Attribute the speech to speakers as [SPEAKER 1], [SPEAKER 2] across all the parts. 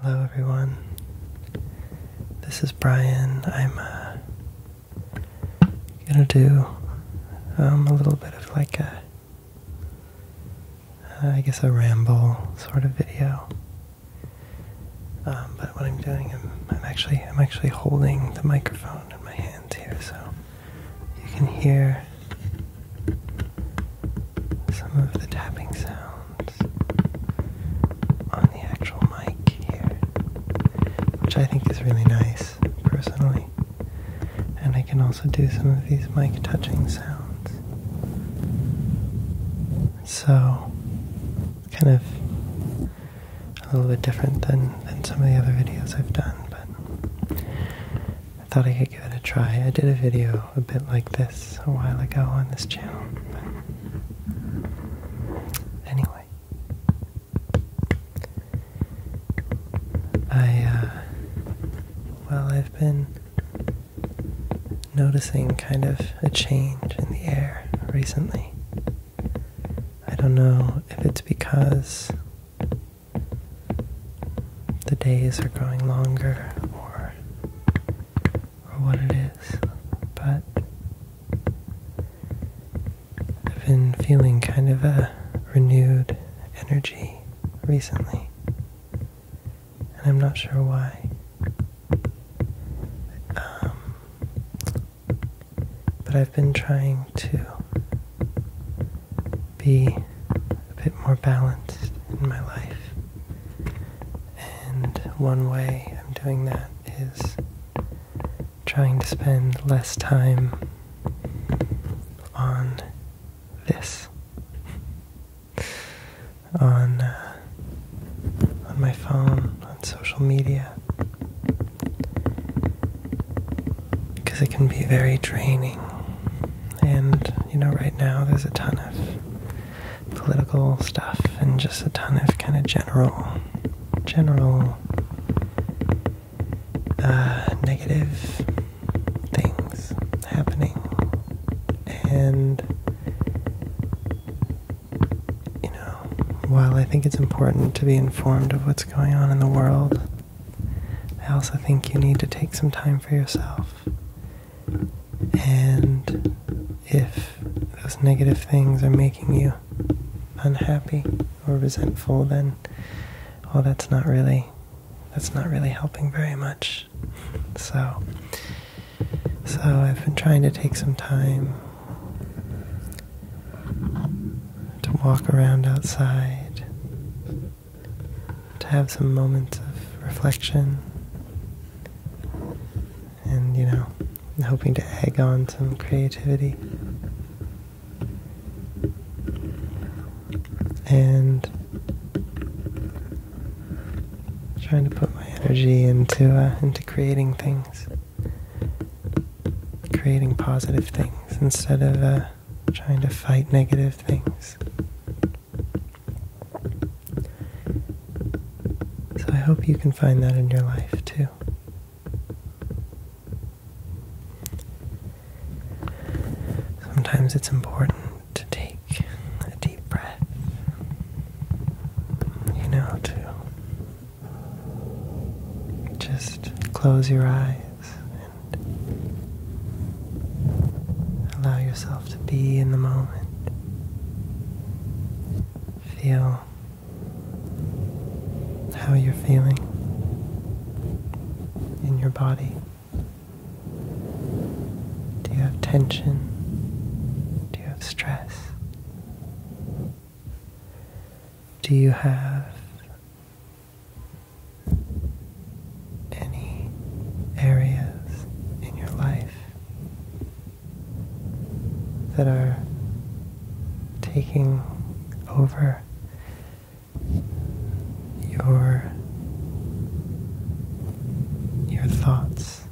[SPEAKER 1] Hello everyone. This is Brian. I'm uh, gonna do um, a little bit of like a, uh, I guess a ramble sort of video. Um, but what I'm doing, I'm, I'm actually I'm actually holding the microphone in my hands here, so you can hear some of the tapping sounds on the actual mic here, which I think is really nice personally. And I can also do some of these mic touching sounds. So, kind of a little bit different than, than some of the other videos I've done, but I thought I could give it a try. I did a video a bit like this a while ago on this channel. anyway, I, uh, well, I've been noticing kind of a change in the air recently. I don't know if it's because the days are growing longer or or what it is, but I've been feeling kind of a renewed energy recently, and I'm not sure why. Um, but I've been trying to be a bit more balanced in my life. And one way I'm doing that is trying to spend less time on this, on uh, on my phone, on social media, because it can be very draining and you know, right now there's a ton of political stuff and just a ton of kind of general, general uh, negative things happening. And, you know, while I think it's important to be informed of what's going on in the world, I also think you need to take some time for yourself and if those negative things are making you unhappy or resentful, then well, that's not really that's not really helping very much. So, so I've been trying to take some time to walk around outside to have some moments of reflection and, you know, hoping to egg on some creativity. And trying to put my energy into uh, into creating things, creating positive things instead of uh, trying to fight negative things. So I hope you can find that in your life too. Sometimes it's important to take a deep breath, you know, to just close your eyes allow yourself to be in the moment. Feel how you're feeling in your body. Do you have tension? Do you have stress? Do you have any areas in your life that are taking over your your thoughts,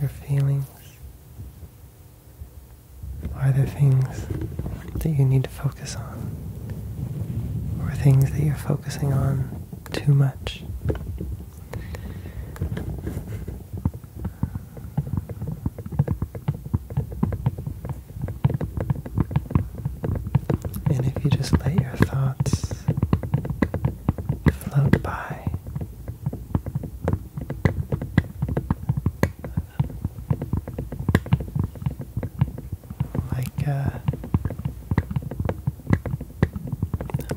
[SPEAKER 1] your feelings. Are there things that you need to focus on? Or things that you're focusing on too much. And if you just let your thoughts float by, like uh,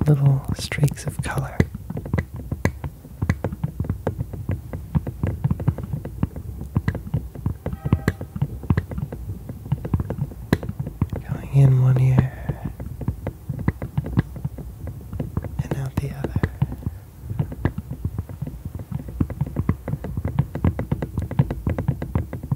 [SPEAKER 1] little streaks of color. Going in one ear and out the other.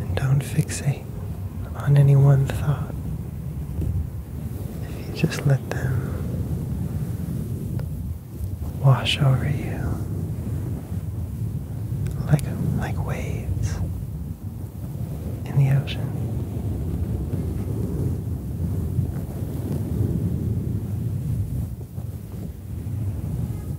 [SPEAKER 1] And don't fixate on any one thought. If you just let them wash over you like like waves in the ocean.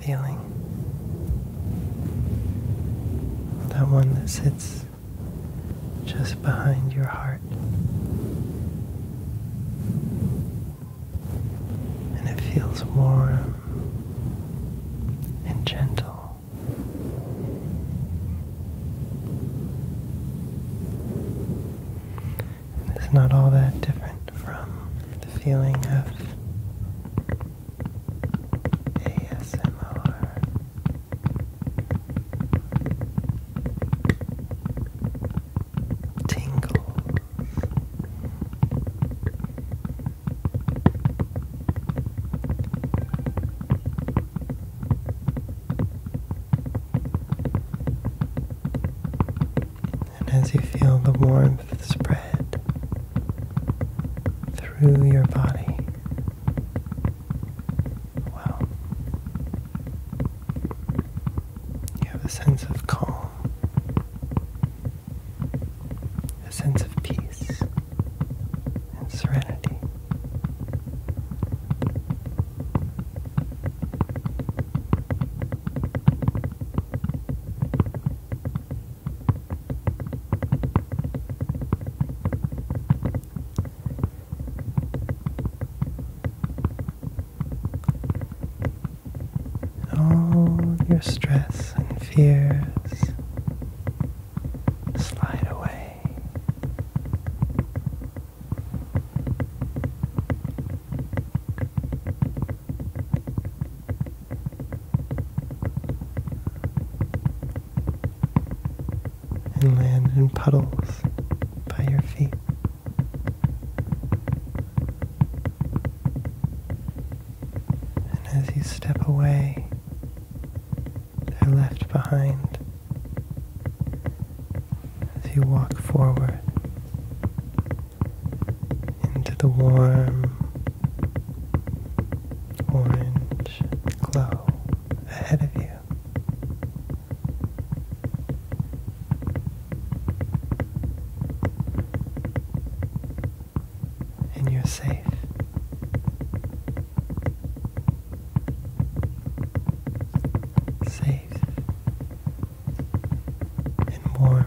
[SPEAKER 1] feeling. That one that sits just behind your heart. And it feels warm and gentle it's not all that different from the feeling of ASMR. Tingles. And as you feel the warmth spread through your body, well, you have a sense of calm, a sense of peace and serenity. All your stress and fears slide away and land in puddles by your feet. And as you step away, they're left behind as you walk forward into the warm orange glow ahead of you. And you're safe. Safe safe and warm.